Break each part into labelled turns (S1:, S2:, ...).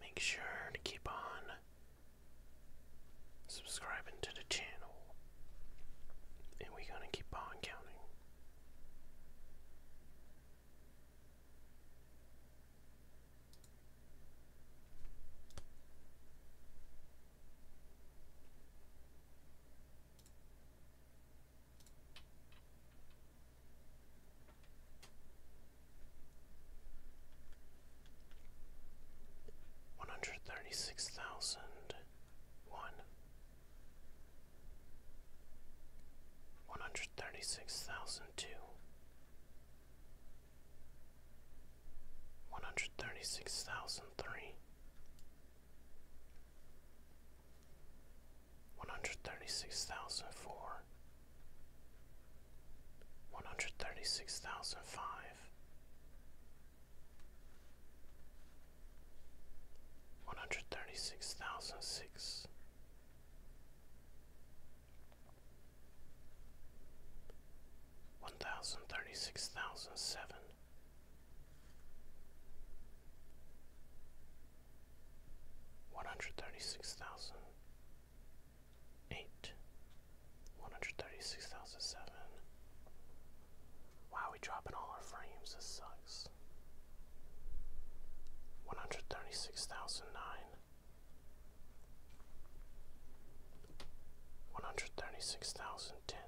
S1: Make sure to keep on subscribing to the channel, and we're gonna keep on counting. One hundred thirty six thousand one, one hundred thirty six thousand two, one hundred thirty six thousand three, one hundred thirty six thousand four one hundred thirty six thousand five. One hundred thirty six thousand six, one thousand thirty six thousand seven, one hundred thirty six thousand eight, one hundred thirty-six thousand seven. Wow, we dropping all our frames. This sucks. One hundred thirty-six thousand nine. One hundred thirty-six thousand ten.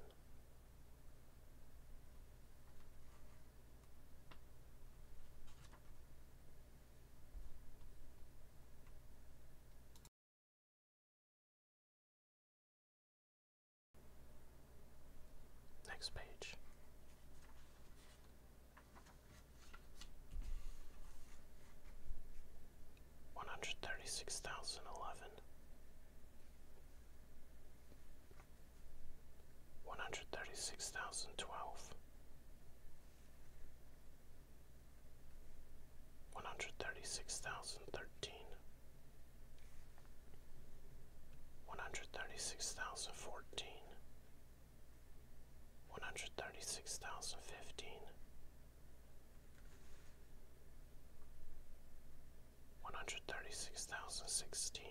S1: Next page. One hundred thirty six thousand eleven, one hundred thirty six thousand twelve, one hundred thirty-six thousand thirteen. One hundred thirty-six thousand fourteen. One hundred thirty-six thousand fifteen. One hundred thirty-six thousand sixteen.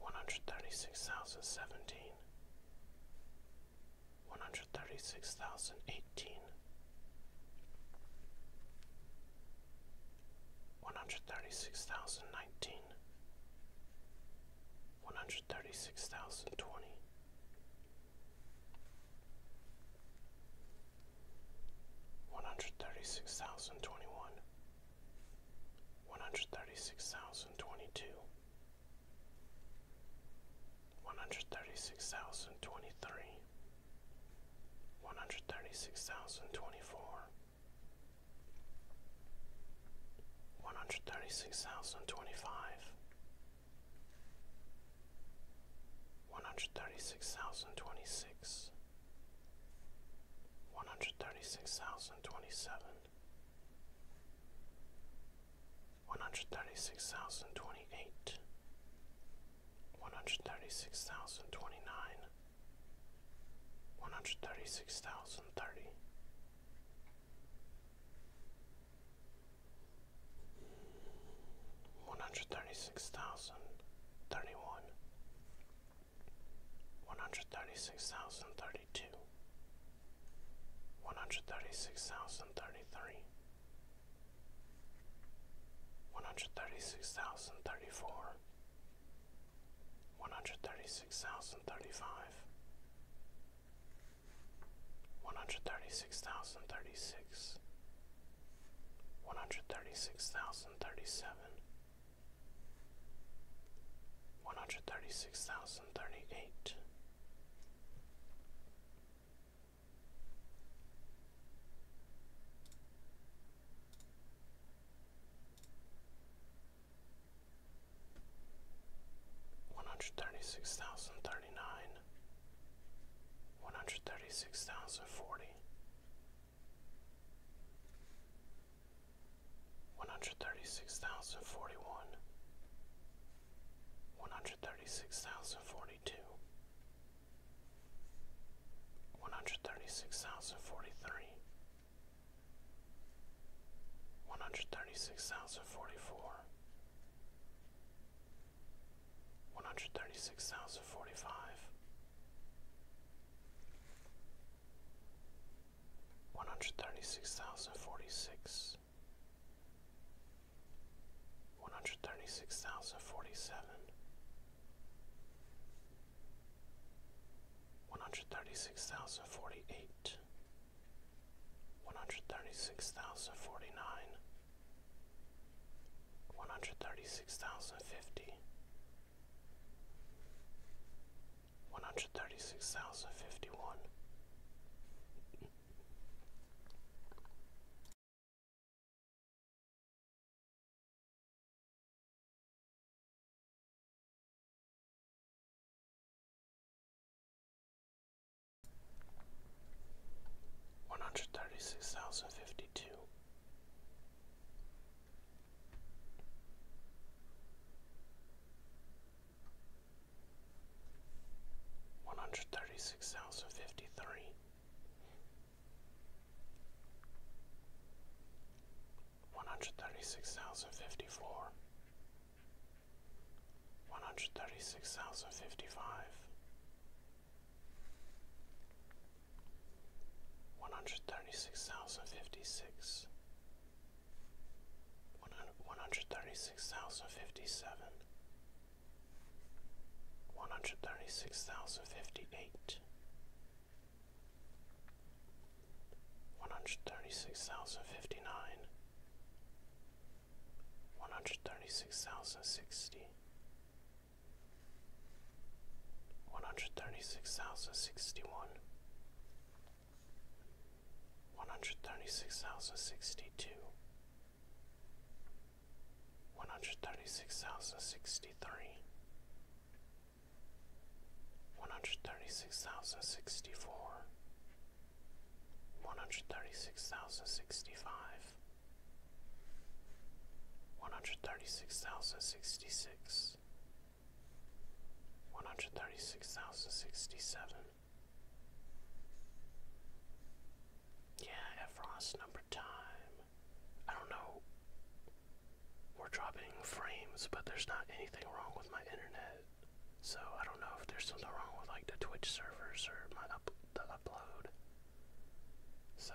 S1: one hundred thirty six thousand thirteen, one hundred thirty six thousand fourteen, one hundred thirty six thousand fifteen, one hundred thirty six thousand sixteen, one hundred thirty six thousand seventeen. One hundred thirty-six thousand eighteen. One hundred thirty-six thousand nineteen. One hundred thirty-six thousand twenty. one hundred thirty six thousand twenty. One hundred thirty six thousand twenty one, one hundred thirty six thousand twenty two, one hundred thirty six thousand twenty three, one hundred thirty six thousand twenty four, one hundred thirty six thousand twenty five. One hundred thirty six thousand twenty six, one hundred thirty six thousand twenty seven, one hundred thirty six thousand twenty eight, one hundred thirty six thousand twenty nine, one hundred thirty six thousand thirty. One hundred thirty six thousand thirty one, one hundred thirty six thousand thirty two, one hundred thirty six thousand thirty three, one hundred thirty six thousand thirty four, one hundred thirty six thousand thirty five, one hundred thirty six thousand thirty six, one hundred thirty six thousand thirty seven. 136037 one hundred thirty six thousand thirty eight. One hundred thirty six thousand thirty nine, one hundred thirty six thousand forty, one hundred thirty six thousand forty one, one hundred thirty six thousand forty two, one hundred thirty six thousand forty three, one hundred thirty six thousand forty four, one hundred thirty six thousand forty five one hundred thirty six thousand forty six, one hundred thirty six thousand forty seven, one hundred thirty six thousand forty eight, one hundred thirty six thousand forty nine, one hundred thirty six thousand fifty one hundred thirty six thousand fifty one. One hundred thirty six thousand fifty two, one hundred thirty six thousand fifty three, one hundred thirty six thousand fifty four, one hundred thirty six thousand fifty five, one hundred thirty six thousand fifty six. 136056 one hundred thirty six thousand fifty seven, one hundred thirty six thousand fifty eight, one hundred thirty six thousand fifty nine, one hundred thirty six One hundred thirty-six thousand sixty. One hundred thirty-six thousand sixty-one one hundred thirty six thousand sixty two, one hundred thirty six thousand sixty three, one hundred thirty six thousand sixty four, one hundred thirty six thousand sixty five, one hundred thirty six thousand sixty six. 136066 one hundred thirty six thousand sixty seven. Yeah, Efron's number time. I don't know. We're dropping frames, but there's not anything wrong with my internet. So I don't know if there's something wrong with like the Twitch servers or my up the upload. So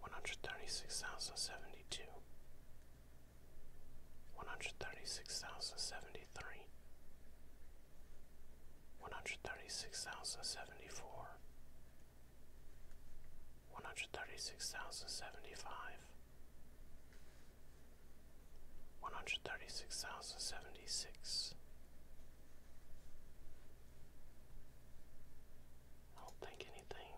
S1: one hundred thirty six thousand seventy two, one hundred thirty six thousand seventy three, one hundred thirty six thousand seventy four, one hundred thirty six thousand seventy five, one hundred thirty six thousand seventy six. I don't think anything.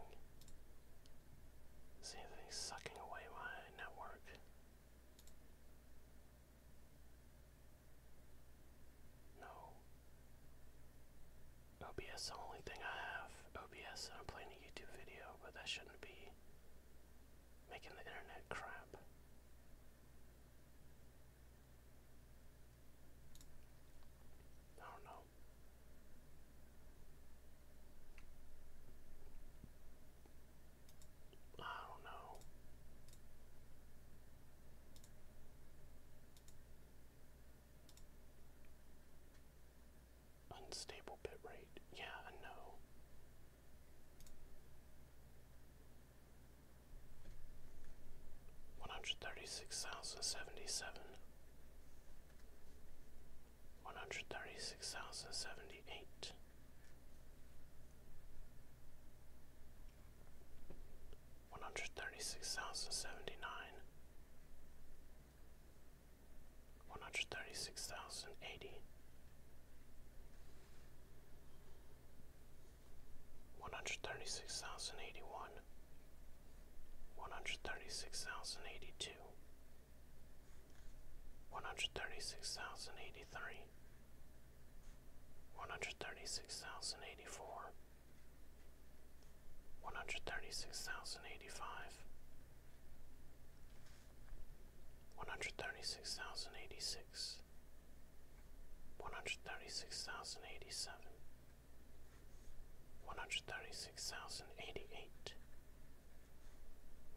S1: Is anything sucking away my network? No. OBS is the only thing I have. OBS and I'm playing a YouTube video, but that shouldn't be making the internet crap. I don't know. I don't know. Unstable bitrate. Yeah, I know one hundred thirty six thousand seventy seven, one hundred thirty six thousand seventy eight, one hundred thirty six thousand seventy nine, one hundred thirty six thousand eighty one hundred thirty six thousand eighty one, one hundred thirty six thousand eighty two, one hundred thirty six thousand eighty three, one hundred thirty six thousand eighty four, one hundred thirty six thousand eighty five, one hundred thirty six thousand eighty six. One hundred thirty six thousand eighty seven, one hundred thirty six thousand eighty eight,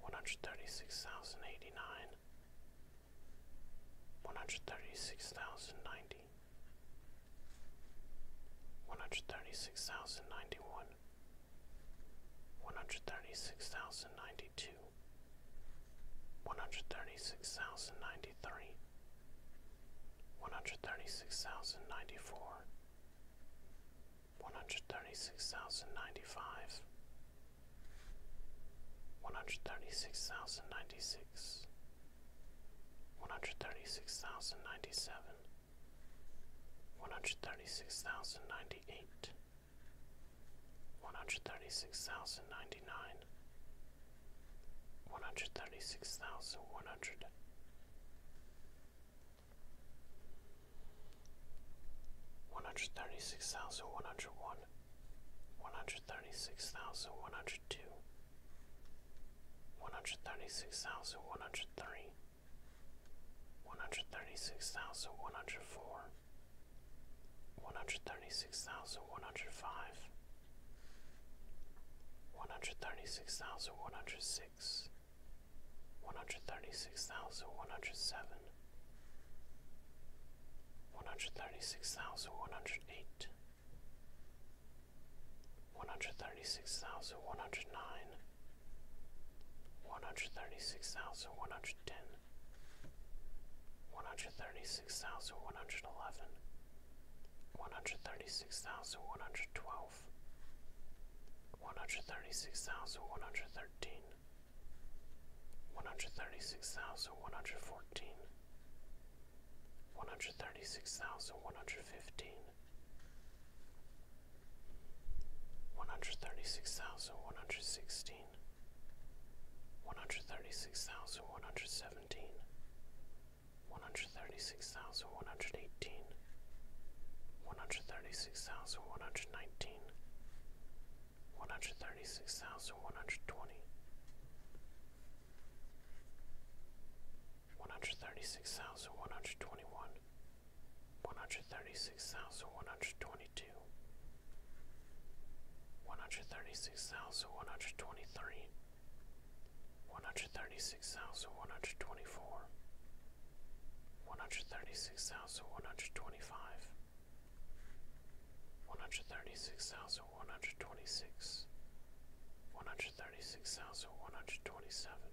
S1: one hundred thirty six thousand eighty nine, one hundred thirty six thousand ninety, one hundred thirty six thousand ninety one, one hundred thirty six thousand ninety two, one hundred thirty six thousand ninety three one hundred thirty six thousand ninety four, one hundred thirty six thousand ninety five, one hundred thirty six thousand ninety six, one hundred thirty six thousand ninety seven, one hundred thirty six thousand ninety eight, one hundred thirty six thousand ninety nine one hundred thirty six thousand one hundred one hundred thirty six thousand one hundred one one hundred thirty six thousand one hundred two one hundred thirty six thousand one hundred three one hundred thirty six thousand one hundred four one hundred thirty six thousand one hundred five one hundred thirty six thousand one hundred six, one hundred thirty six thousand one hundred seven, one hundred thirty six thousand one hundred eight, one hundred thirty six thousand one hundred nine, one hundred thirty six thousand one hundred ten, one hundred thirty six thousand one hundred eleven one hundred thirty six thousand one hundred twelve, one hundred thirty six thousand one hundred thirteen, one hundred thirty six thousand one hundred fourteen, one hundred thirty six thousand one hundred fifteen, one hundred thirty six thousand one hundred sixteen. One hundred thirty six thousand one hundred seventeen, one hundred thirty six thousand one hundred eighteen, one hundred thirty six thousand one hundred nineteen, one hundred thirty six thousand one hundred twenty, one hundred thirty six thousand one hundred twenty one, one hundred thirty six thousand one hundred twenty two, one hundred thirty six thousand one hundred twenty three one hundred thirty six thousand one hundred twenty four, one hundred thirty six thousand one hundred twenty five, one hundred thirty six thousand one hundred twenty six, one hundred thirty six thousand one hundred twenty seven,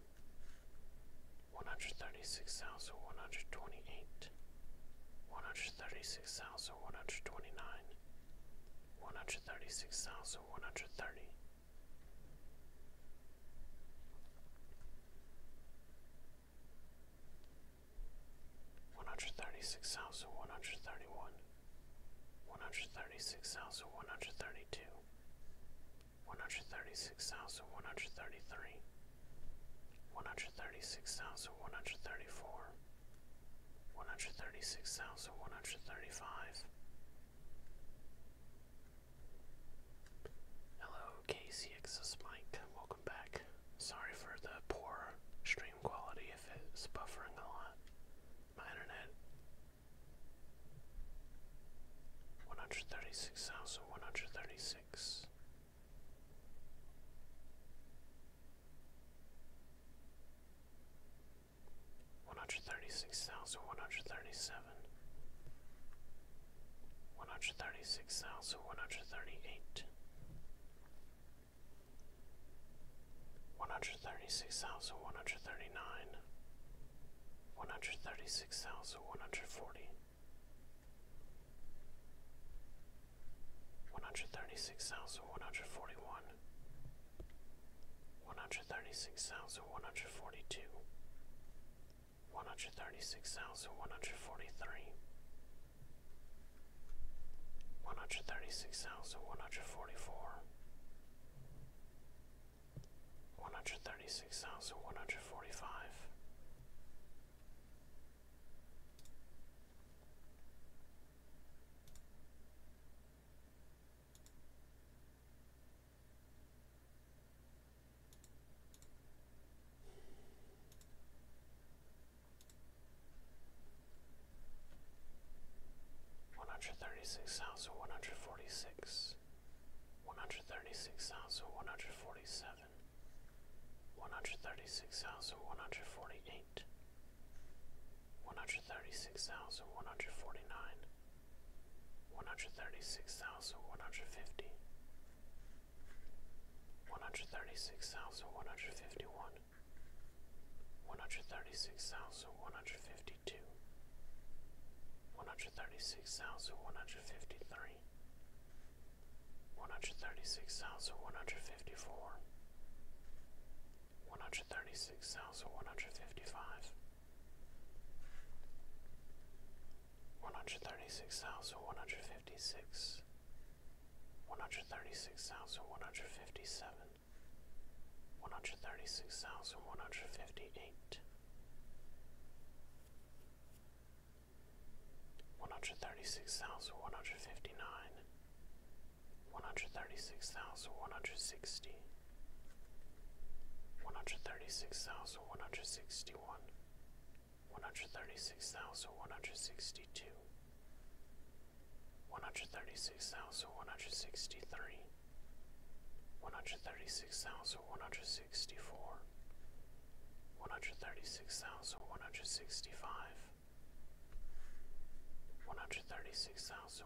S1: one hundred thirty six thousand one hundred twenty eight. One hundred thirty six thousand one hundred twenty nine, one hundred thirty six thousand one hundred thirty. One hundred thirty six thousand one hundred thirty one, one hundred thirty six thousand one hundred thirty two, one hundred thirty six thousand one hundred thirty three, one hundred thirty six thousand one hundred thirty four, one hundred thirty six thousand one hundred thirty five, Hello, KCXS Mike. Welcome back. Sorry for the poor stream quality if it's buffering a lot. My internet. 136,136 one hundred thirty six thousand one hundred thirty seven, one hundred thirty six thousand one hundred thirty eight, one hundred thirty six thousand one hundred thirty nine, one hundred thirty six thousand one hundred forty. 136,141 one hundred thirty six thousand one hundred forty two, one hundred thirty six thousand one hundred forty three, one hundred thirty six thousand one hundred forty four, one hundred thirty six thousand one hundred forty five. One one hundred thirty six thousand one hundred forty six, one hundred thirty six thousand one hundred forty seven, one hundred thirty six thousand one hundred forty eight, one hundred thirty six thousand one hundred forty nine, one hundred thirty six thousand one hundred fifty, one hundred thirty six thousand one hundred fifty one, one hundred thirty six thousand one hundred fifty two, one hundred thirty six thousand one hundred fifty three. One hundred thirty six thousand one hundred fifty four, one hundred thirty six thousand one hundred fifty five, one hundred thirty six thousand one hundred fifty six, one hundred thirty six thousand one hundred fifty seven, one hundred thirty six thousand one hundred fifty eight. One hundred thirty six thousand one hundred fifty nine, one hundred thirty-six thousand one hundred sixty. One hundred thirty-six thousand one hundred hundred thirty six thousand one hundred sixty one, one hundred thirty six thousand one hundred sixty two, one hundred thirty six thousand one hundred sixty three, one hundred thirty six thousand one hundred sixty four, one hundred thirty six thousand one hundred sixty five. One hundred thirty six thousand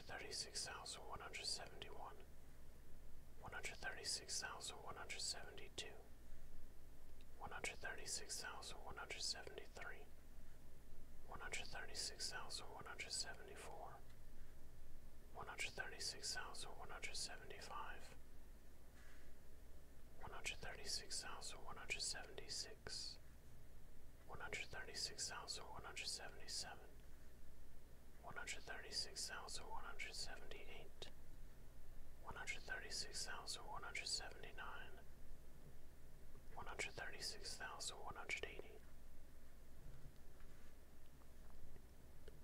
S1: hundred thirty six thousand one hundred seventy one, one hundred thirty six thousand one hundred seventy two, one hundred thirty six thousand one hundred seventy three, one hundred thirty six thousand one hundred seventy four, one hundred thirty six thousand one hundred seventy five, one hundred thirty six thousand one hundred seventy six. 136,175 136,177 136,178 136,179 136,180 136,181 136,177 136,178 136,179 136,180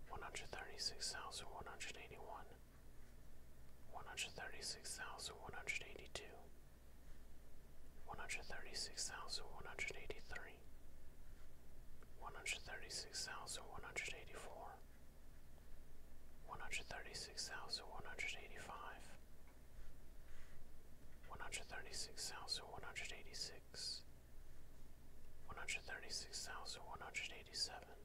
S1: 136,181 136,182 136,183 Missouri, one hundred thirty six thousand one hundred eighty four, one hundred thirty six thousand one hundred eighty five, one hundred thirty six thousand one hundred eighty six, one hundred thirty six thousand one hundred eighty seven,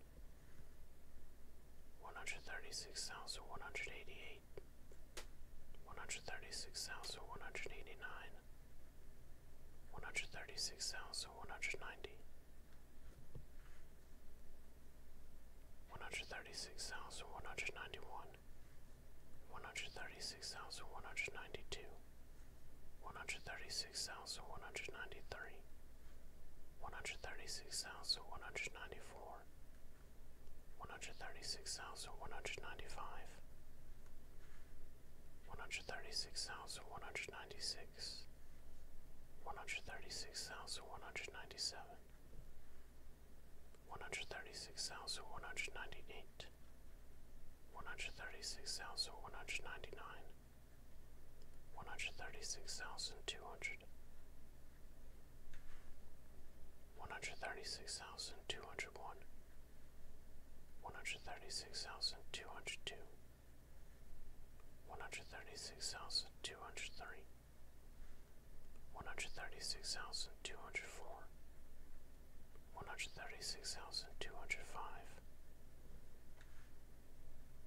S1: one hundred thirty six thousand one hundred eighty eight. One hundred thirty six thousand one hundred eighty nine, one hundred thirty six thousand one hundred ninety one hundred thirty six thousand one hundred ninety one one hundred thirty six thousand one hundred ninety two one hundred thirty six thousand one hundred ninety three one hundred thirty six thousand one hundred ninety four one hundred thirty six thousand one hundred ninety five 136196 136197 136198 136199 136200 136201 one hundred thirty six thousand two hundred two, one hundred thirty six thousand two hundred three, one hundred thirty six thousand two hundred four, one hundred thirty six thousand two hundred five,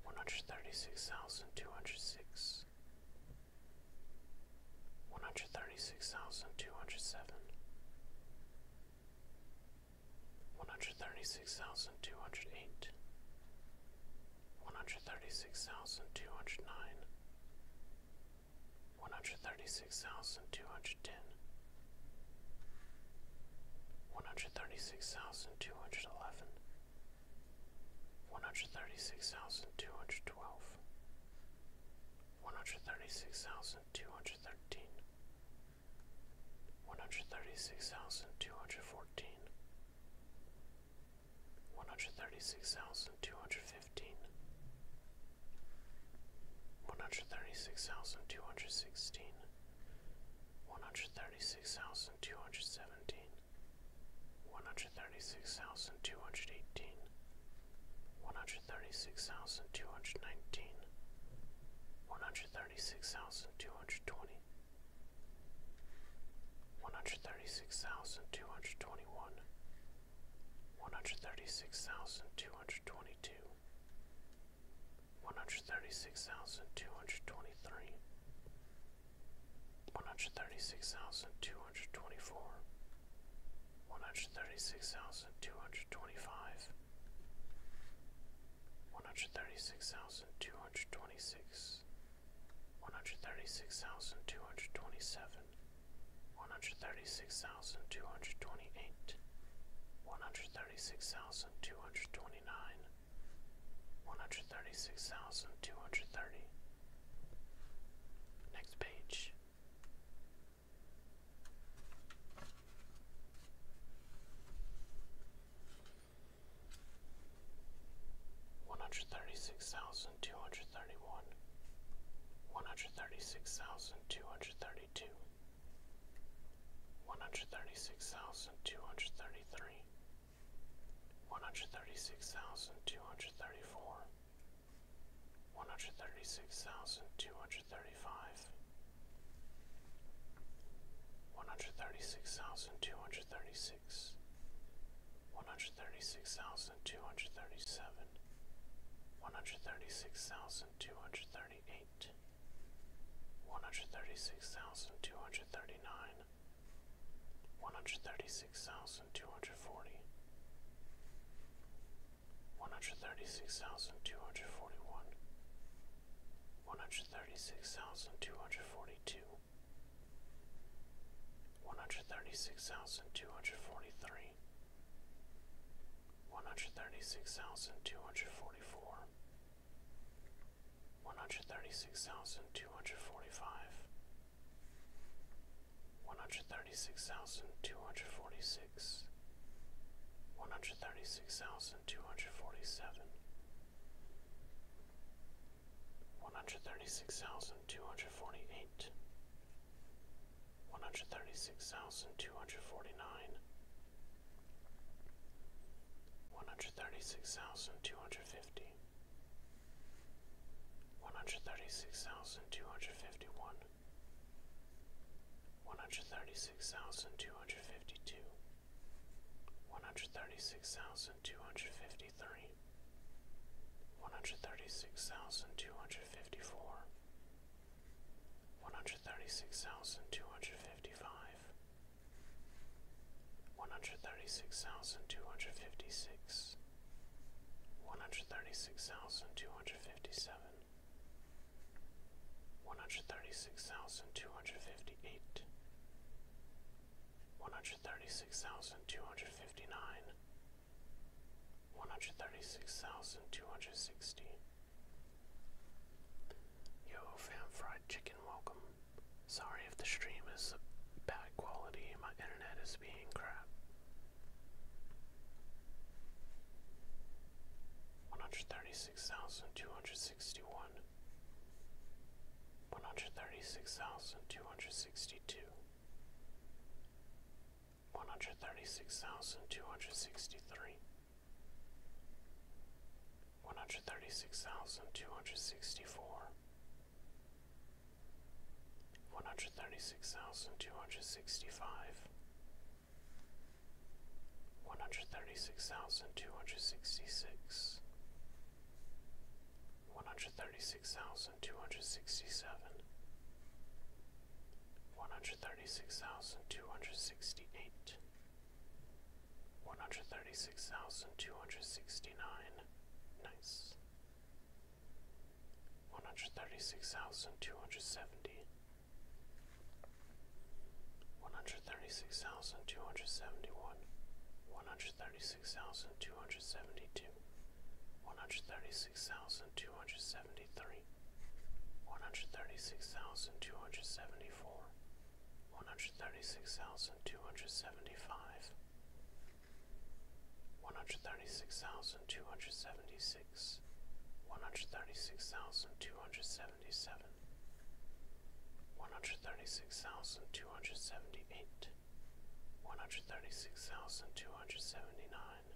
S1: one hundred thirty six thousand two hundred six. One hundred thirty six thousand two hundred seven, one hundred thirty six thousand two hundred eight, one hundred thirty six thousand two hundred nine, one hundred thirty six thousand two hundred ten, one hundred thirty six thousand two hundred eleven, one hundred thirty six thousand two hundred twelve. 136,213 thousand two hundred thirteen, one hundred thirty six thousand two hundred fourteen, one hundred thirty six thousand two hundred fifteen, one hundred thirty six thousand two hundred sixteen, one hundred thirty six thousand two hundred seventeen, one hundred thirty six thousand two hundred eighteen one hundred thirty six thousand two hundred nineteen, one hundred thirty six thousand two hundred twenty, one hundred thirty six thousand two hundred twenty one, one hundred thirty six thousand two hundred twenty two, one hundred thirty six thousand two hundred twenty three, one hundred thirty six thousand two hundred twenty four. 136,224 one hundred thirty six thousand two hundred twenty five, one hundred thirty six thousand two hundred twenty six, one hundred thirty six thousand two hundred twenty seven, one hundred thirty six thousand two hundred twenty eight, one hundred thirty six thousand two hundred twenty nine, one hundred thirty six thousand two hundred thirty. Next page. One hundred thirty six thousand two hundred thirty one, one hundred thirty six thousand two hundred thirty two, one hundred thirty six thousand two hundred thirty three, one hundred thirty six thousand two hundred thirty four, one hundred thirty six thousand two hundred thirty five, one hundred thirty six thousand two hundred thirty six, one hundred thirty six thousand two hundred thirty seven, one hundred thirty six thousand two hundred thirty eight, one hundred thirty six thousand two hundred thirty nine, one hundred thirty six thousand two hundred forty one hundred thirty six thousand two hundred forty one, one hundred thirty six thousand two hundred forty two, one hundred thirty six thousand two hundred forty three, one hundred thirty six thousand two hundred forty four, one hundred thirty six thousand two hundred forty five. One hundred thirty six thousand two hundred forty six, six, one hundred thirty six thousand two hundred forty seven, one hundred thirty six thousand two hundred forty eight, one hundred thirty six thousand two hundred forty nine, one hundred thirty six thousand two hundred fifty. One hundred thirty six thousand two hundred fifty one, one hundred thirty six thousand two hundred fifty two, one hundred thirty six thousand two hundred fifty three, one hundred thirty six thousand two hundred fifty four, one hundred thirty six thousand two hundred fifty five, one hundred thirty six thousand two hundred fifty six. One hundred thirty six thousand two hundred fifty seven, one hundred thirty six thousand two hundred fifty eight, one hundred thirty six thousand two hundred fifty nine, one hundred thirty six thousand two hundred sixty. Yo, fam, fried chicken, welcome. Sorry if the stream is bad quality, my internet is being crap one hundred thirty six thousand two hundred sixty one, one hundred thirty six thousand two hundred sixty two, one hundred thirty six thousand two hundred sixty three, one hundred thirty six thousand two hundred sixty four. One hundred thirty six thousand two hundred sixty five, one hundred thirty six thousand two hundred sixty six, one hundred thirty six thousand two hundred sixty seven, one hundred thirty six thousand two hundred sixty eight, one hundred thirty six thousand two hundred sixty nine, nice. One hundred thirty six thousand two hundred seventy, one hundred thirty six thousand two hundred seventy one, one hundred thirty six thousand two hundred seventy two, one hundred thirty six thousand two hundred seventy three, one hundred thirty six thousand two hundred seventy four, one hundred thirty six thousand two hundred seventy five, one hundred thirty six thousand two hundred seventy six six, one hundred thirty six thousand two hundred seventy seven, one hundred thirty six thousand two hundred seventy eight, one hundred thirty six thousand two hundred seventy nine,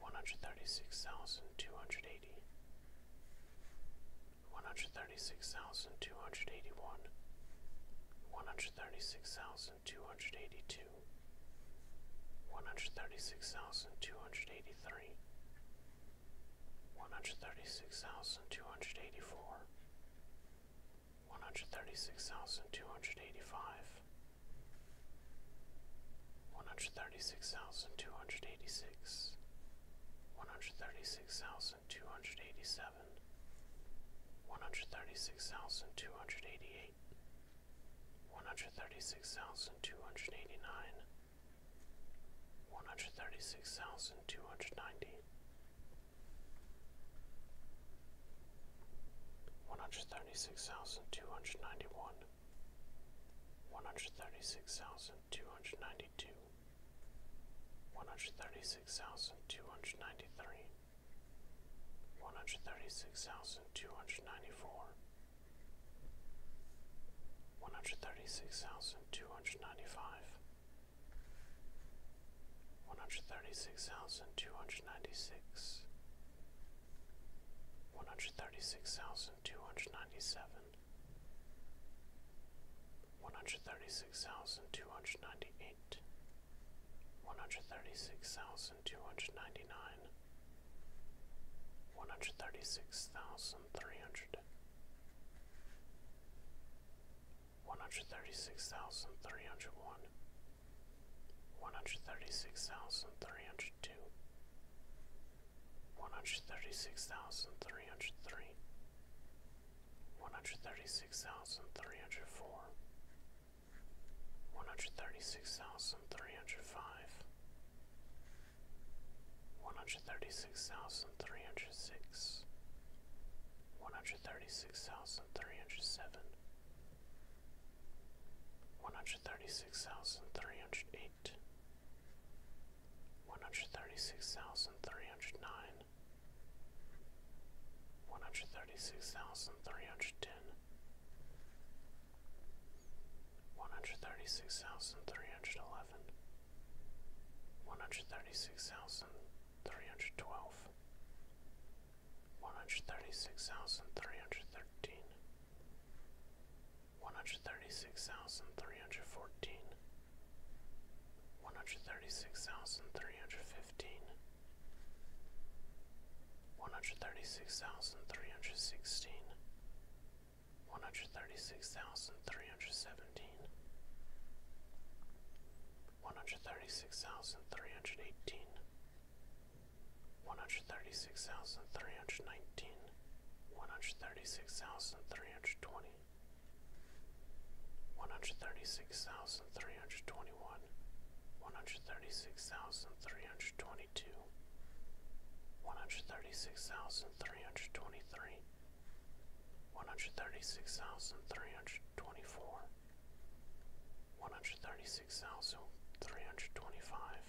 S1: one hundred thirty six thousand two hundred eighty, one hundred thirty six thousand two hundred eighty one, one hundred thirty six thousand two hundred eighty two one hundred thirty six thousand two hundred eighty three, one hundred thirty six thousand two hundred eighty four, one hundred thirty six thousand two hundred eighty five, one hundred thirty six thousand two hundred eighty six, one hundred thirty six thousand two hundred eighty seven. One hundred thirty six thousand two hundred eighty eight, one hundred thirty six thousand two hundred eighty nine, one hundred thirty six thousand two hundred ninety, one hundred thirty six thousand two hundred ninety one, one hundred thirty six thousand two hundred ninety two, one hundred thirty six thousand two hundred ninety three. One hundred thirty six thousand two hundred ninety four, one hundred thirty six thousand two hundred ninety five, one hundred thirty six thousand two hundred ninety six, one hundred thirty six thousand two hundred ninety seven, one hundred thirty six thousand two hundred ninety eight, one hundred thirty six thousand two hundred ninety nine one hundred thirty six thousand three hundred one hundred thirty six thousand three hundred one one hundred thirty six thousand three hundred two one hundred thirty six thousand three hundred three one hundred thirty six thousand three hundred four one hundred thirty six thousand three hundred five, one hundred thirty six thousand three hundred six, one hundred thirty six thousand three hundred seven, one hundred thirty six thousand three hundred eight, one hundred thirty six thousand three hundred nine. One hundred thirty six thousand three hundred ten, one hundred thirty-six thousand three hundred eleven. One hundred thirty-six thousand three hundred twelve. One hundred thirty-six thousand three hundred thirteen. One hundred thirty-six thousand three hundred fourteen. One hundred thirty-six thousand three hundred fifteen. One hundred thirty-six thousand three hundred sixteen. One hundred thirty-six thousand three hundred seventeen. One hundred thirty-six thousand three hundred eighteen. One hundred thirty-six thousand three hundred nineteen. One hundred thirty-six thousand three hundred twenty. one hundred thirty six thousand three hundred nineteen, one hundred thirty six thousand three hundred twenty. One hundred thirty six thousand three hundred twenty one, one hundred thirty six thousand three hundred twenty two, one hundred thirty six thousand three hundred twenty three, one hundred thirty six thousand three hundred twenty four, one hundred thirty six thousand three hundred twenty five,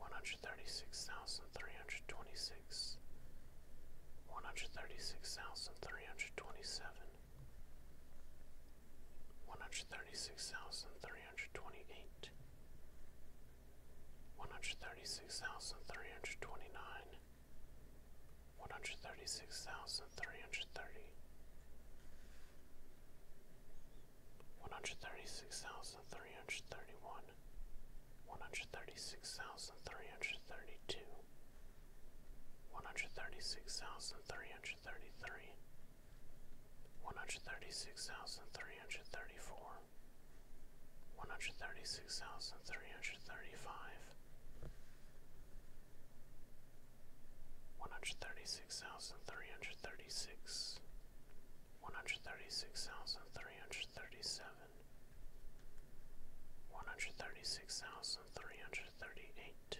S1: one hundred thirty six thousand three hundred twenty six. One hundred thirty six thousand three hundred twenty seven, one hundred thirty six thousand three three hundred twenty eight, one hundred thirty six thousand three hundred twenty nine, one hundred thirty six thousand three hundred thirty, one hundred thirty six thousand three hundred thirty one, one hundred thirty six thousand three hundred thirty two. One hundred thirty six thousand three hundred thirty three, one hundred thirty six thousand three hundred thirty four, one hundred thirty six thousand three hundred thirty five, one hundred thirty six thousand three hundred thirty six, one hundred thirty six thousand three hundred thirty seven, one hundred thirty six thousand three hundred thirty eight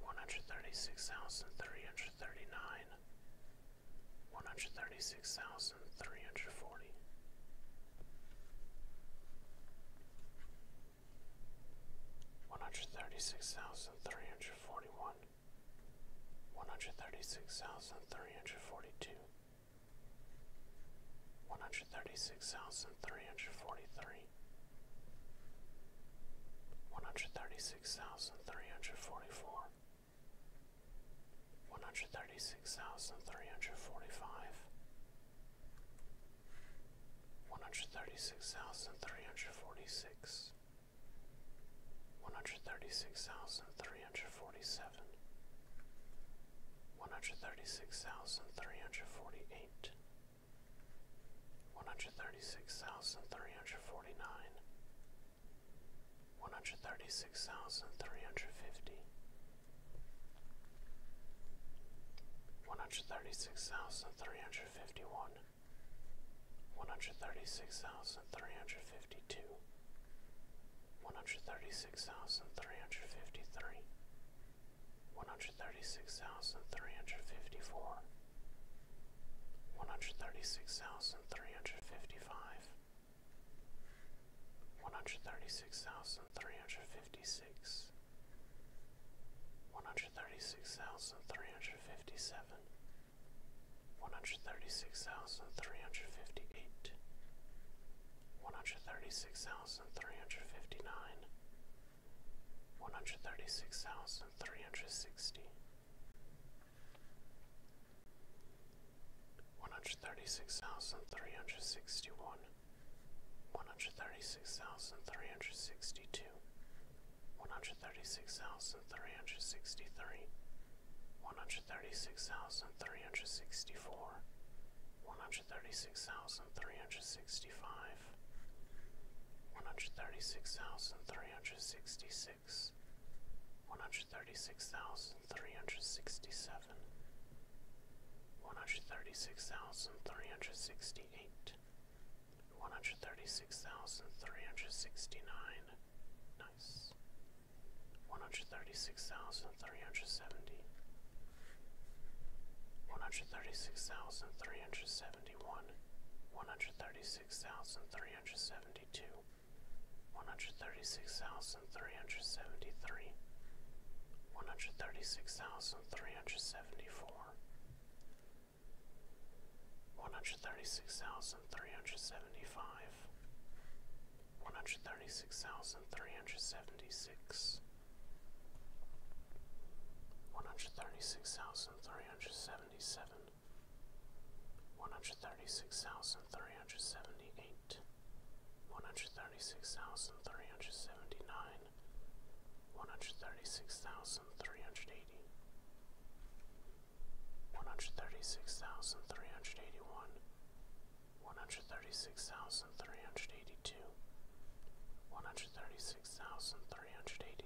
S1: one hundred thirty six thousand three hundred thirty nine, one hundred thirty six thousand three hundred forty. One hundred thirty six thousand three hundred forty one, one hundred thirty six thousand three hundred forty two, one hundred thirty six thousand three hundred forty three one hundred thirty six thousand three hundred forty four, one hundred thirty six thousand three hundred forty five, one hundred thirty six thousand three hundred forty six, one hundred thirty six thousand three hundred forty seven. One hundred thirty six thousand three hundred forty eight, one hundred thirty six thousand three hundred forty nine, one One hundred thirty-six thousand three hundred fifty. One hundred thirty-six thousand three hundred fifty-one. thousand three hundred fifty one, one hundred thirty six thousand three hundred fifty two, one hundred thirty six thousand three hundred fifty three. One hundred thirty six thousand three hundred fifty four, one hundred thirty six thousand three hundred fifty five, one hundred thirty six thousand three hundred fifty six, one hundred thirty six thousand three hundred fifty seven, one hundred thirty six thousand three hundred fifty eight, one hundred thirty six thousand three hundred fifty nine. 136,359 one hundred thirty six thousand three hundred sixty, one hundred thirty six thousand three hundred sixty one, one hundred thirty six thousand three hundred sixty two, one hundred thirty six thousand three hundred sixty three, one hundred thirty six thousand three hundred sixty four. One hundred thirty six thousand three hundred sixty five, one hundred thirty six thousand three hundred sixty six, one hundred thirty six thousand three hundred sixty seven, one hundred thirty six thousand three hundred sixty eight, one hundred thirty six thousand three hundred sixty nine, nice, one hundred thirty six thousand three hundred seventy. One hundred thirty six thousand three hundred seventy one, one hundred thirty 136,372 136,373 136,374 136,375 136,376 136,377 seventy-seven, one hundred thirty-six thousand three hundred seventy-eight, one hundred thirty-six thousand three hundred seventy-nine, one hundred thirty-six thousand three hundred eighty, one hundred thirty-six thousand three hundred eighty-one, one hundred thirty-six thousand three hundred eighty-two, one hundred thirty-six thousand three hundred eighty-three.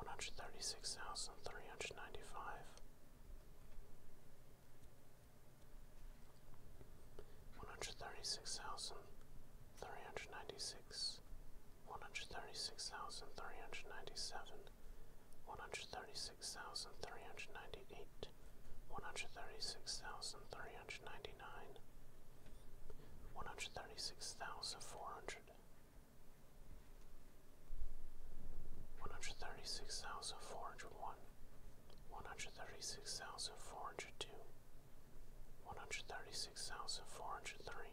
S1: one hundred thirty six thousand three hundred ninety five, one hundred thirty six thousand three hundred ninety six, one hundred thirty six thousand three hundred ninety seven, one hundred thirty six thousand three hundred ninety eight, one hundred thirty six thousand three hundred ninety nine. One hundred thirty six thousand four hundred, one hundred thirty six thousand four hundred one, one hundred thirty six thousand four hundred two, one hundred thirty six thousand four hundred three,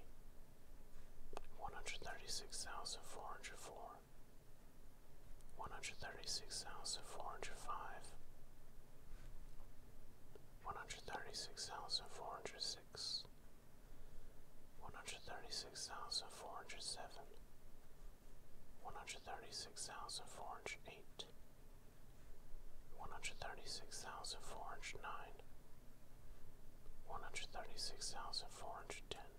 S1: one hundred thirty six thousand four hundred four, one hundred thirty six thousand four hundred five, one hundred thirty six thousand four hundred six one hundred thirty six thousand four hundred seven, one hundred thirty six thousand four hundred eight, one hundred thirty six thousand four hundred nine, one hundred thirty six thousand four hundred ten,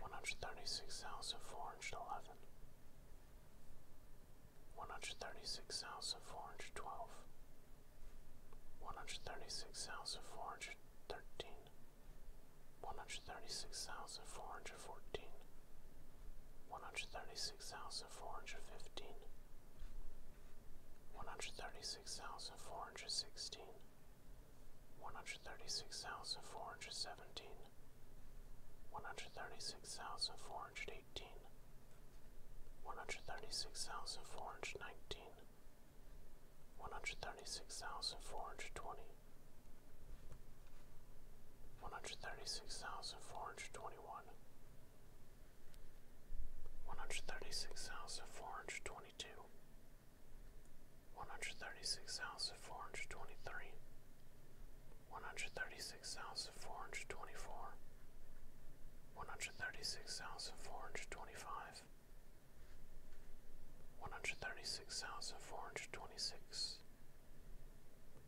S1: one hundred thirty six thousand four hundred eleven. One hundred thirty six thousand four hundred twelve, one hundred thirty six thousand four hundred thirteen, one hundred thirty six thousand four hundred fourteen, one hundred thirty six thousand four hundred fifteen, one hundred thirty six thousand four hundred sixteen, one hundred thirty six thousand four hundred seventeen, one hundred thirty six thousand four hundred eighteen. One hundred thirty six thousand four hundred nineteen, one hundred thirty-six thousand four hundred twenty. One hundred thirty-six thousand four hundred twenty-one. thirty six thousand four hundred twenty one, one hundred thirty six thousand four hundred twenty two, one hundred thirty six thousand four hundred twenty three, one hundred thirty six thousand four hundred twenty four. One hundred thirty six thousand four hundred twenty five, hundred twenty six,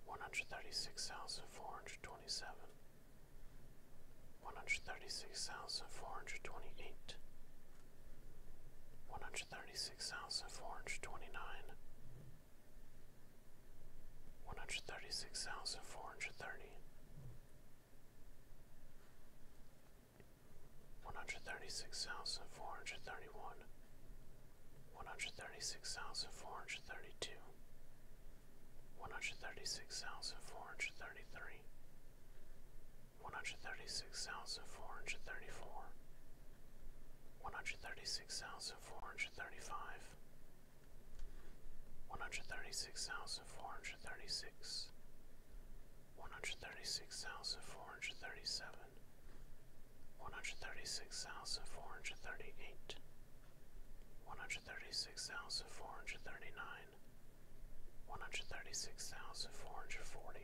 S1: one hundred thirty six thousand four hundred twenty seven, one hundred thirty six thousand four hundred twenty eight, one hundred thirty six thousand four hundred twenty nine. One hundred thirty six thousand four hundred thirty, one hundred thirty six thousand four hundred thirty one, one hundred thirty six thousand four hundred thirty two, one hundred thirty six thousand four hundred thirty three, one hundred thirty six thousand four hundred thirty four, one hundred thirty six thousand four hundred thirty five, one hundred thirty six thousand thousand four hundred thirty six, one hundred thirty six thousand four hundred thirty seven, one hundred thirty six thousand four hundred thirty eight, one hundred thirty six thousand four hundred thirty nine, one hundred thirty six thousand four hundred forty.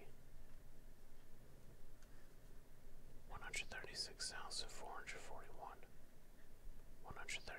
S1: 136,441 136,442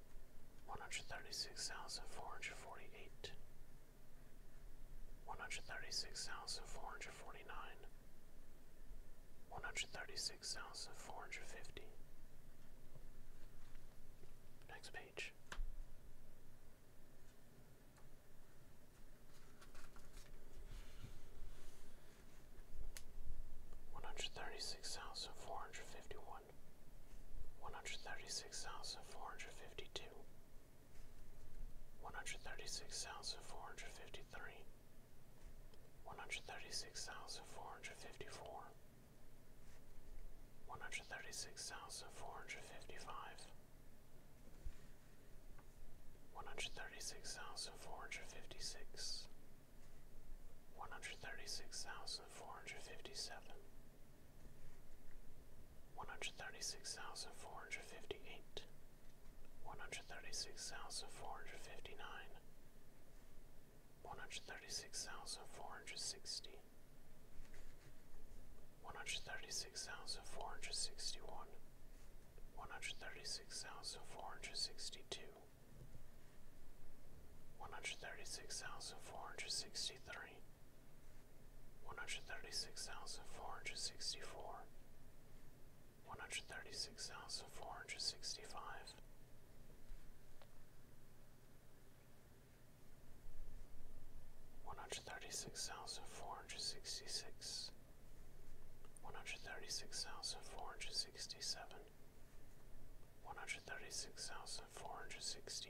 S1: one hundred thirty six thousand four hundred forty eight, one hundred thirty six thousand four hundred forty nine, one hundred thirty six thousand four hundred fifty. Next page. One hundred thirty six thousand four hundred fifty one, one hundred thirty six thousand four hundred fifty two, one hundred thirty six thousand four hundred fifty three, one hundred thirty six thousand four hundred fifty four, one hundred thirty six thousand four hundred fifty five, one hundred thirty six thousand four hundred fifty six. One hundred thirty six thousand four hundred fifty seven, one hundred thirty six thousand four hundred fifty eight, one hundred thirty six thousand four hundred fifty nine, one hundred thirty six thousand four hundred sixty, one hundred thirty six thousand four hundred sixty one, one hundred thirty six thousand four hundred sixty two, one hundred thirty six thousand four hundred sixty three century, one hundred thirty six thousand four hundred sixty four, one hundred thirty six thousand four hundred sixty five. One hundred thirty six thousand four hundred sixty six, one hundred thirty six thousand four hundred sixty seven, one hundred thirty six thousand four hundred sixty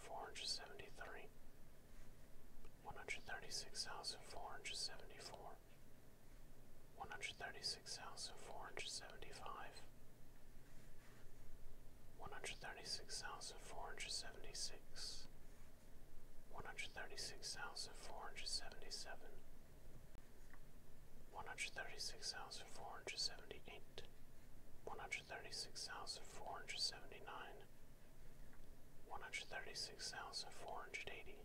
S1: thousand four hundred seventy three, one hundred thirty six thousand four hundred seventy four, one hundred thirty six thousand four hundred seventy five, one hundred thirty six thousand four hundred seventy six, one hundred thirty six thousand four hundred seventy seven. One hundred thirty six thousand four hundred seventy eight, one hundred hundred thirty six thousand four hundred seventy nine, one hundred thirty six thousand four hundred eighty,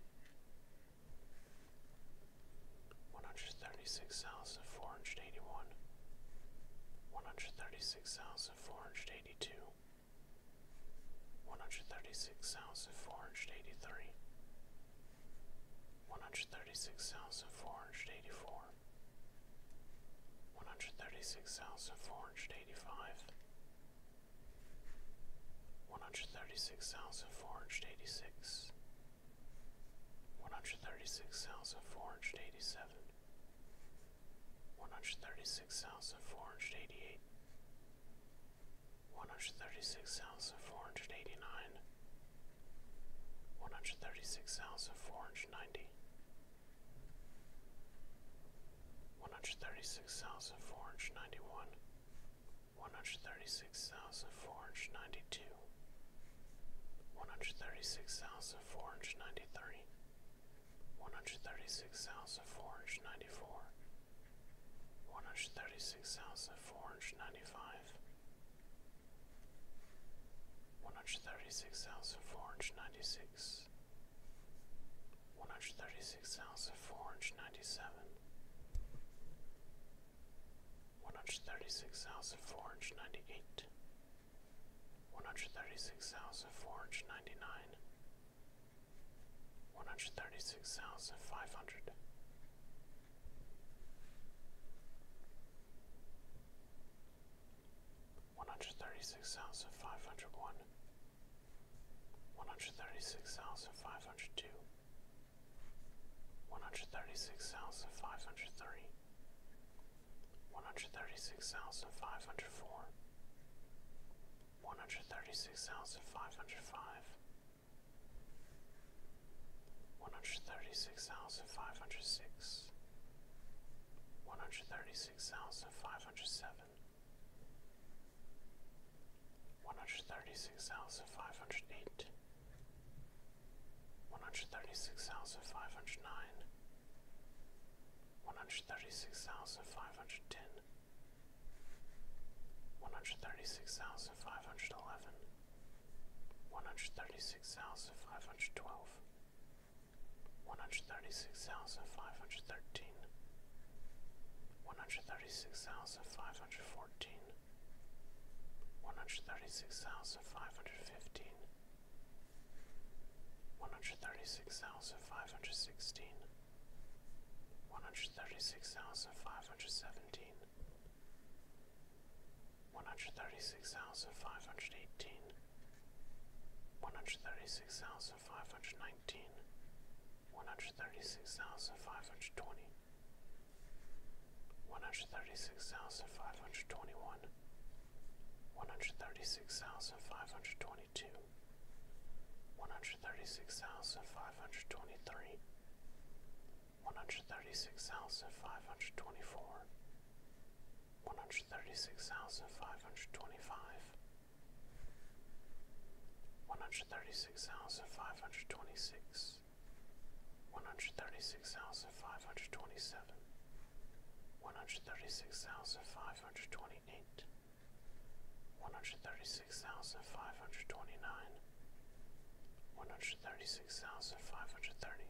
S1: one hundred thirty six thousand four hundred eighty one, one hundred thirty six thousand four hundred eighty two, one hundred thirty six thousand four hundred eighty three. One hundred thirty six thousand four hundred eighty four, one hundred thirty six thousand four hundred eighty five, one hundred thirty six thousand four hundred eighty six, one hundred thirty six thousand four hundred eighty seven, one hundred thirty six thousand four hundred eighty eight. One hundred thirty six thousand four hundred eighty nine, one hundred thirty six thousand four hundred ninety, one hundred thirty six thousand four hundred ninety one, one hundred thirty six thousand four hundred ninety two, one hundred thirty six thousand four hundred ninety three, one hundred thirty six thousand four hundred ninety four, one hundred thirty six thousand four hundred ninety five one hundred thirty six thousand four hundred ninety six, one hundred thirty six thousand four hundred ninety seven, one hundred thirty six thousand four hundred ninety eight, one hundred thirty six thousand four hundred ninety nine, one hundred thirty six thousand five hundred one hundred thirty six thousand five hundred one, one hundred thirty six thousand five hundred two, one hundred thirty six thousand five hundred three, one hundred thirty six thousand five hundred four, one hundred thirty six thousand five hundred five. One hundred thirty six thousand five hundred six, one hundred thirty six thousand five hundred seven, one hundred thirty six thousand five hundred eight, one hundred thirty six thousand five hundred nine, one hundred thirty six thousand five hundred ten, one hundred thirty six thousand five hundred eleven. One hundred thirty six thousand five hundred twelve, one hundred thirty-six thousand five hundred thirteen. One hundred thirty-six thousand five hundred fourteen. One hundred thirty-six thousand five hundred fifteen. One hundred thirty-six thousand five hundred sixteen. One hundred thirty-six thousand five hundred seventeen. One hundred thirty-six thousand five hundred eighteen. One hundred thirty-six thousand five hundred nineteen. One hundred thirty-six thousand five hundred twenty. One hundred thirty-six thousand five hundred twenty-one. nineteen, one hundred thirty six thousand five hundred twenty, one hundred thirty six thousand five hundred twenty one, one hundred thirty six thousand five hundred twenty two, one hundred thirty six thousand five hundred twenty three. One hundred thirty six thousand five hundred twenty four, one hundred thirty six thousand five hundred twenty five, one hundred thirty six thousand five hundred twenty six, one hundred thirty six thousand five hundred twenty seven, one hundred thirty six thousand five hundred twenty eight, one hundred thirty six thousand five hundred twenty nine, one hundred thirty six thousand five hundred thirty.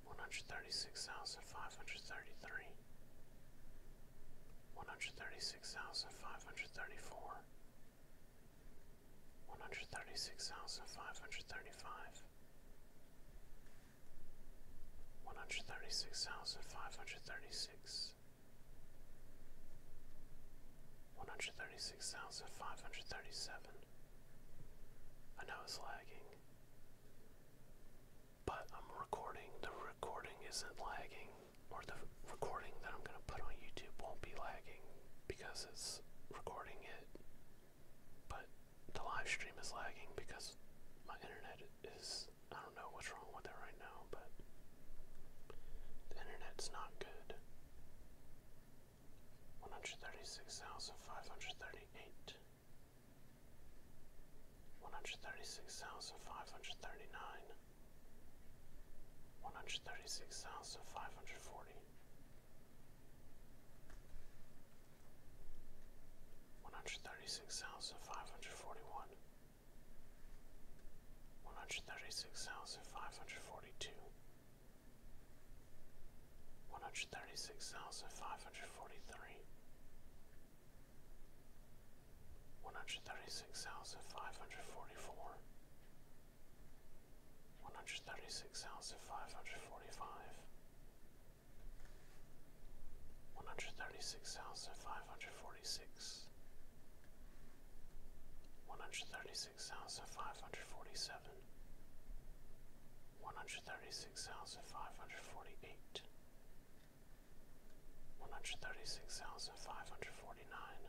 S1: one hundred thirty six thousand five hundred thirty three, one hundred thirty six thousand five hundred thirty four, one hundred thirty six thousand five hundred thirty five, one hundred thirty six thousand five hundred thirty six. One hundred thirty six thousand five hundred thirty seven. I know it's lagging. But I'm recording. The recording isn't lagging, or the recording that I'm going to put on YouTube won't be lagging because it's recording it. But the live stream is lagging because my internet is. I don't know what's wrong with it right now, but the internet's not good. 136,538 one hundred thirty six thousand five hundred thirty nine, one hundred thirty six thousand five hundred forty, one hundred thirty six thousand five hundred forty one, one hundred thirty six thousand five hundred forty two one hundred thirty six thousand five hundred forty three, one hundred thirty six thousand five hundred forty four, one hundred thirty six thousand five hundred forty five, one hundred thirty six thousand five hundred forty six. One hundred thirty six thousand five hundred forty seven, one hundred thirty six thousand five hundred forty eight, one hundred thirty six thousand five hundred forty nine,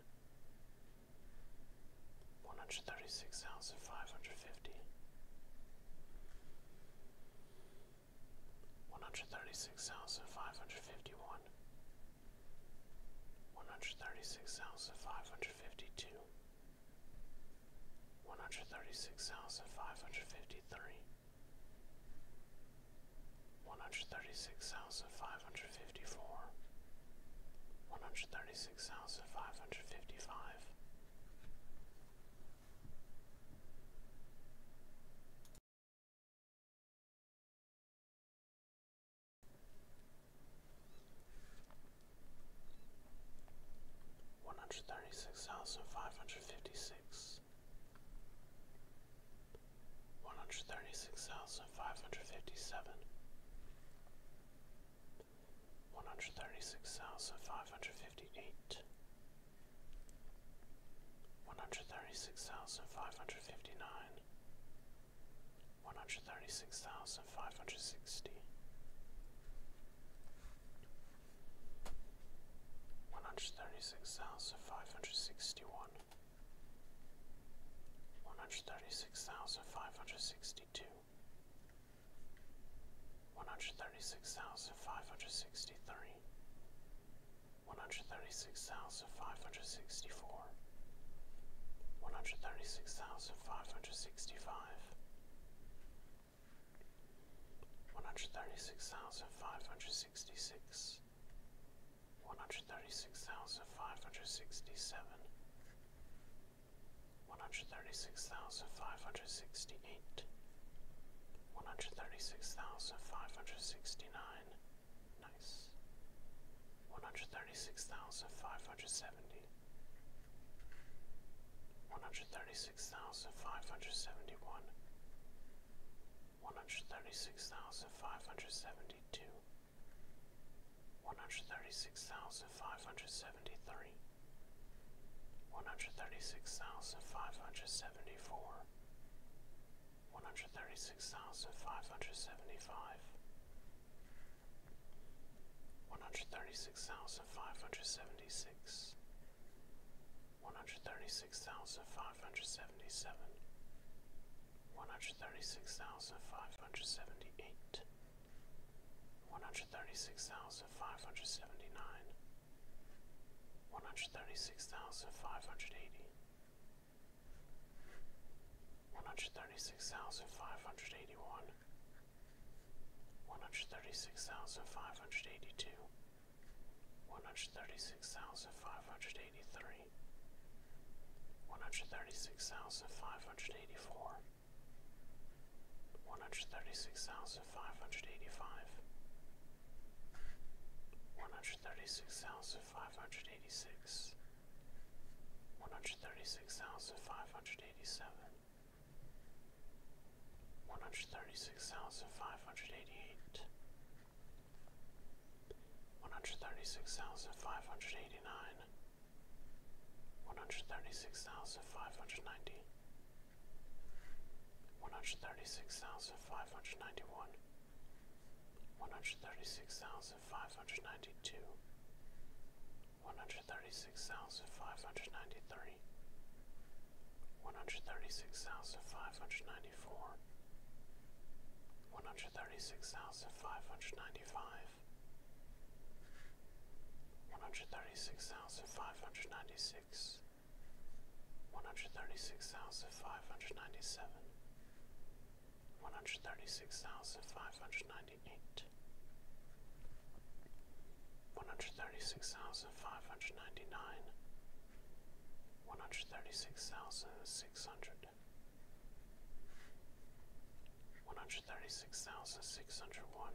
S1: one hundred thirty six thousand five hundred fifty, one hundred thirty six thousand five hundred fifty one. One hundred thirty six thousand five hundred fifty two, one hundred thirty six thousand five hundred fifty three, one hundred thirty six thousand five hundred fifty four, one hundred thirty six thousand five hundred fifty five one hundred thirty six thousand five hundred fifty six, one hundred thirty six thousand five hundred fifty seven, one hundred thirty six thousand five hundred fifty eight, one hundred thirty six thousand five hundred fifty nine. One hundred thirty six thousand five hundred sixty, one hundred thirty six thousand five hundred sixty one, one hundred thirty six thousand five hundred sixty two, one hundred thirty six thousand five hundred sixty three, one hundred thirty six thousand five hundred sixty four, one hundred thirty six thousand five hundred sixty five one hundred thirty six thousand five hundred sixty six, one hundred thirty six thousand five hundred sixty seven, one hundred thirty six thousand five hundred sixty eight, one hundred thirty six thousand five hundred sixty nine, nice, one hundred thirty six thousand five hundred seventy one hundred thirty six thousand five hundred seventy one, one hundred thirty six thousand five hundred seventy two, one hundred thirty six thousand five hundred seventy three, one hundred thirty six thousand five hundred seventy four, one hundred thirty six thousand five hundred seventy five. One hundred thirty six thousand five hundred seventy six, one hundred thirty six thousand five hundred seventy seven, one hundred thirty six thousand five hundred seventy eight, one hundred thirty six thousand five hundred seventy nine, one hundred thirty six thousand five hundred eighty. One hundred thirty six thousand five hundred eighty one, one hundred thirty six thousand five hundred eighty two, one hundred thirty six thousand five hundred eighty three, one hundred thirty six thousand five hundred eighty four, one hundred thirty six thousand five hundred eighty five, one hundred thirty six thousand five hundred eighty six. One hundred thirty six thousand five hundred eighty seven, one hundred thirty six thousand five hundred eighty eight, one hundred thirty six thousand five hundred eighty nine, one hundred thirty six hundred ninety. One hundred thirty-six thousand ninety one, one hundred thirty six thousand five hundred ninety two. 136,593 Six thousand five hundred ninety-three. One thirty-six thousand five hundred ninety-four, one hundred thirty-six thousand five hundred ninety-five, one hundred thirty-six thousand five hundred ninety-six, one hundred thirty-six thousand five hundred ninety-seven. One hundred thirty six thousand five hundred ninety eight, one hundred thirty six thousand five hundred ninety nine, One hundred thirty-six thousand six hundred one. six thousand six hundred one,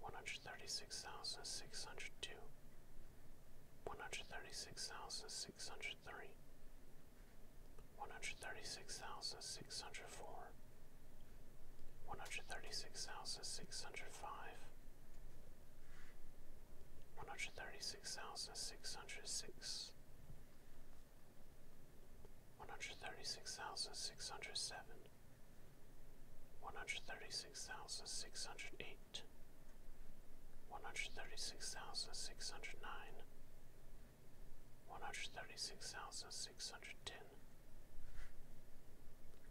S1: one hundred thirty six thousand six hundred two, one hundred thirty six thousand six 136,604 one hundred thirty six thousand six hundred five, one hundred thirty six thousand six hundred six, one hundred thirty six thousand six hundred seven, one hundred thirty six thousand six hundred eight, one hundred thirty six thousand six hundred nine. One hundred thirty six thousand six hundred ten, million,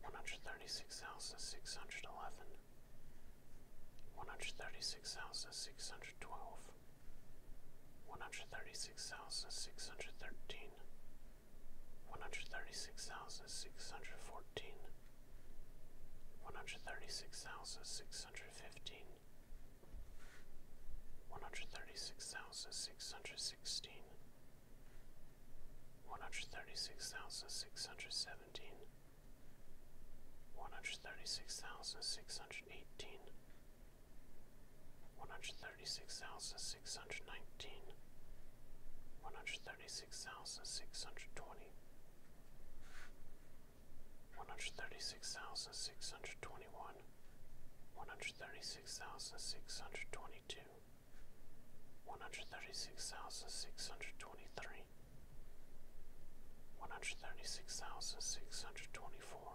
S1: one hundred thirty-six thousand six hundred eleven, one hundred thirty-six thousand six hundred twelve, one hundred thirty-six thousand six hundred thirteen, one hundred thirty-six thousand six hundred fourteen, one hundred thirty-six thousand six hundred fifteen, one hundred thirty-six thousand six hundred sixteen. 136,616 one hundred thirty six thousand six hundred seventeen, one hundred thirty six thousand six hundred eighteen, one hundred thirty six thousand six hundred nineteen, one hundred thirty six thousand six hundred twenty, one hundred thirty six thousand six hundred twenty one, one hundred thirty six thousand six hundred twenty two one hundred thirty six thousand six hundred twenty three, one hundred thirty six thousand six hundred twenty four,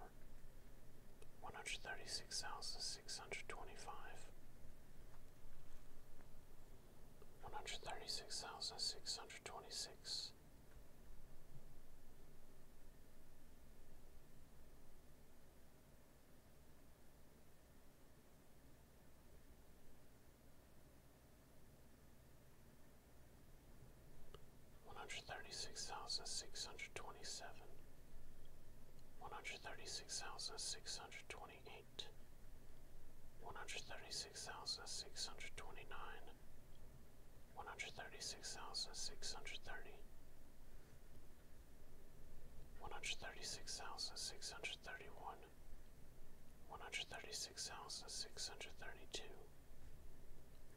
S1: one hundred thirty six thousand six hundred twenty five, one hundred thirty six thousand six hundred twenty six one hundred thirty six thousand six hundred twenty seven, one hundred thirty six thousand six hundred twenty eight, one hundred thirty six thousand six hundred twenty nine, one hundred thirty six thousand six hundred thirty one hundred thirty six thousand six hundred thirty one, one hundred thirty six thousand six hundred thirty two,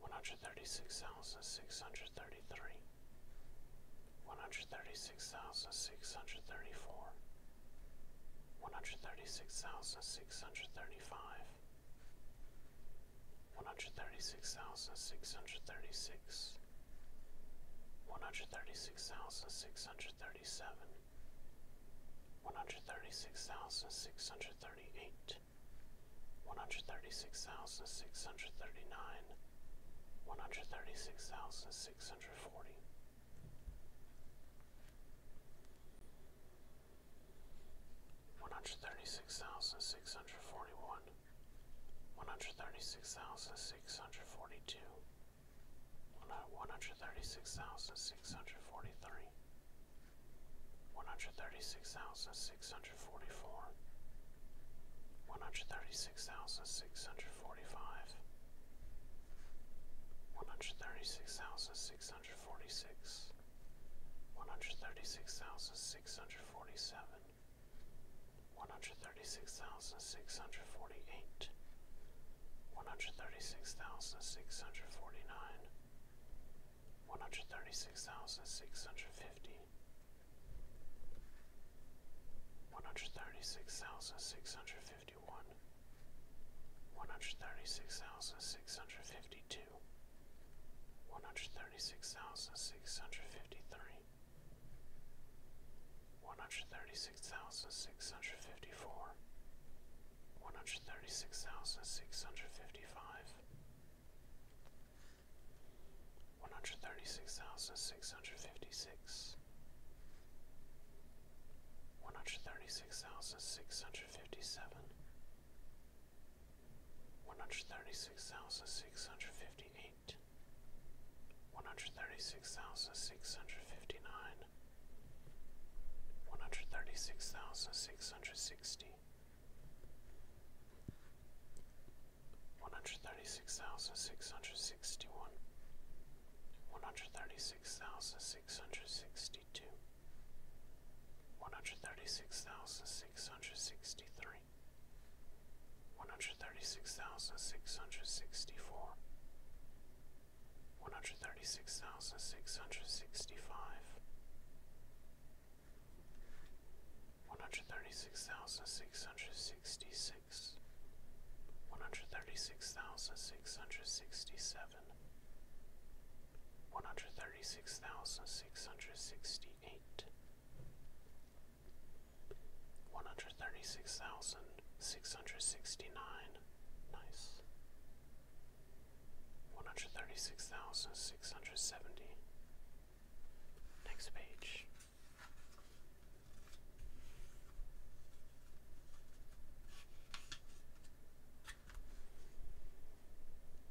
S1: one hundred thirty six thousand six hundred thirty three, one hundred thirty six thousand six hundred thirty four, one hundred thirty six thousand six hundred thirty five. One hundred thirty six thousand six hundred thirty six, hundred thirty seven, one hundred thirty six thousand six hundred thirty eight, one hundred thirty six thousand six hundred thirty nine, one hundred thirty six thousand six hundred forty. One hundred thirty six thousand six hundred forty one, one hundred thirty six thousand six hundred forty two, one hundred thirty six thousand six hundred forty three, one hundred thirty six thousand six hundred forty four, one hundred thirty six thousand six hundred forty five, one hundred thirty six thousand six hundred forty six, one hundred thirty six thousand six hundred forty seven. 136,647 one hundred thirty six thousand six hundred forty eight, one hundred thirty six thousand six hundred forty nine, one hundred thirty One hundred thirty-six thousand six hundred fifty. One hundred thirty-six thousand six hundred fifty-one. six hundred fifty one, one hundred thirty six thousand six hundred fifty two. One hundred thirty six thousand six hundred fifty three, one hundred thirty six thousand six hundred fifty four, one hundred thirty six thousand six hundred fifty five, one hundred thirty six thousand six hundred fifty six, one hundred thirty six thousand six hundred fifty seven. One hundred thirty six thousand six hundred fifty eight, one hundred thirty-six thousand six hundred fifty-nine. One hundred thirty-six thousand six hundred sixty. One hundred thirty-six thousand six hundred sixty-one. one hundred thirty six thousand six hundred sixty two. One hundred thirty six thousand six hundred sixty three, one hundred thirty six thousand six hundred sixty four, one hundred thirty six thousand six hundred sixty five, one hundred thirty six thousand six hundred sixty six, one hundred thirty six thousand six hundred sixty seven. One hundred thirty six thousand six hundred sixty eight, one hundred thirty six thousand six hundred sixty nine. Nice. One hundred thirty six thousand six hundred seventy. Next page.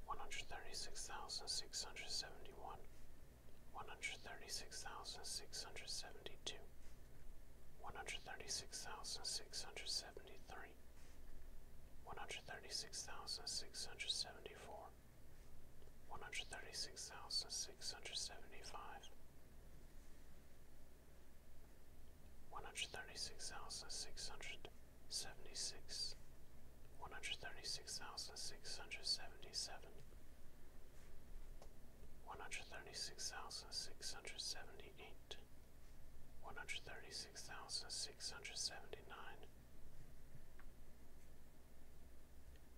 S1: One hundred thirty six thousand six hundred seventy one one hundred thirty six thousand six hundred seventy two, one hundred thirty six thousand six hundred seventy three, one hundred thirty six thousand six hundred seventy four, one hundred thirty six thousand six hundred seventy five, one hundred thirty six thousand six hundred seventy six, one hundred thirty six thousand six hundred seventy seven one hundred thirty six thousand six hundred seventy eight, one hundred thirty six thousand six hundred seventy nine,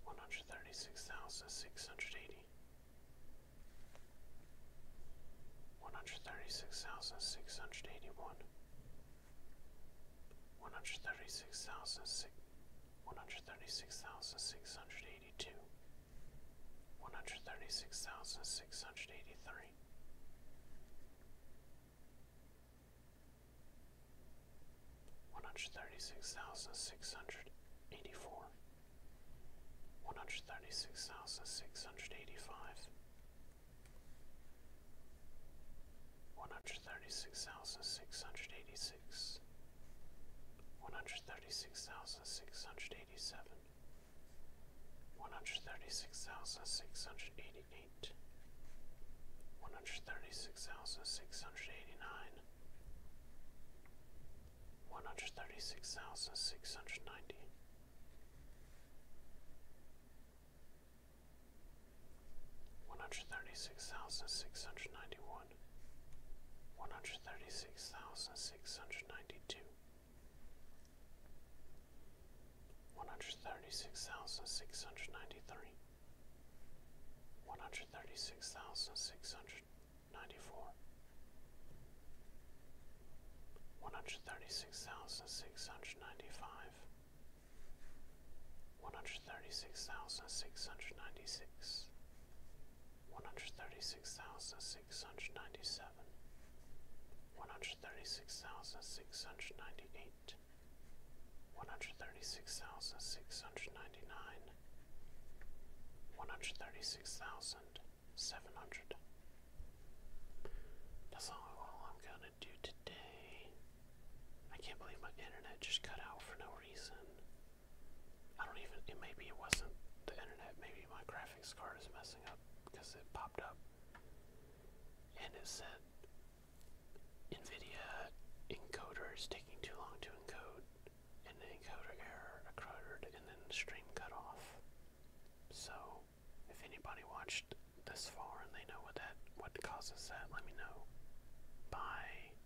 S1: one hundred thirty six thousand six hundred eighty, one hundred thirty six thousand six hundred eighty one. One hundred thirty six thousand six one hundred thirty six thousand six hundred 136683 136684 136685 136686 one hundred thirty six thousand six hundred eighty seven, one hundred thirty six thousand six hundred eighty eight, one hundred thirty six thousand six hundred eighty nine, one hundred thirty six thousand six hundred ninety. One hundred thirty six thousand six hundred ninety one one hundred thirty six thousand six hundred ninety two, one hundred thirty six thousand six hundred ninety three, one hundred thirty six thousand six hundred ninety four, one hundred thirty six thousand six hundred ninety five. One hundred thirty six thousand six hundred ninety six, one hundred thirty six thousand six hundred ninety seven, one hundred thirty six thousand six hundred ninety eight, one hundred thirty six thousand six hundred ninety nine, one hundred thirty six thousand seven hundred. That's all I'm gonna do today. I can't believe my internet just cut out for no reason. I don't even, maybe it wasn't the internet, maybe my graphics card is messing up because it popped up and it said NVIDIA encoder is taking too long to encode and the encoder error occurred and then stream cut off. So if anybody watched this far and they know what that what causes that, let me know. Bye.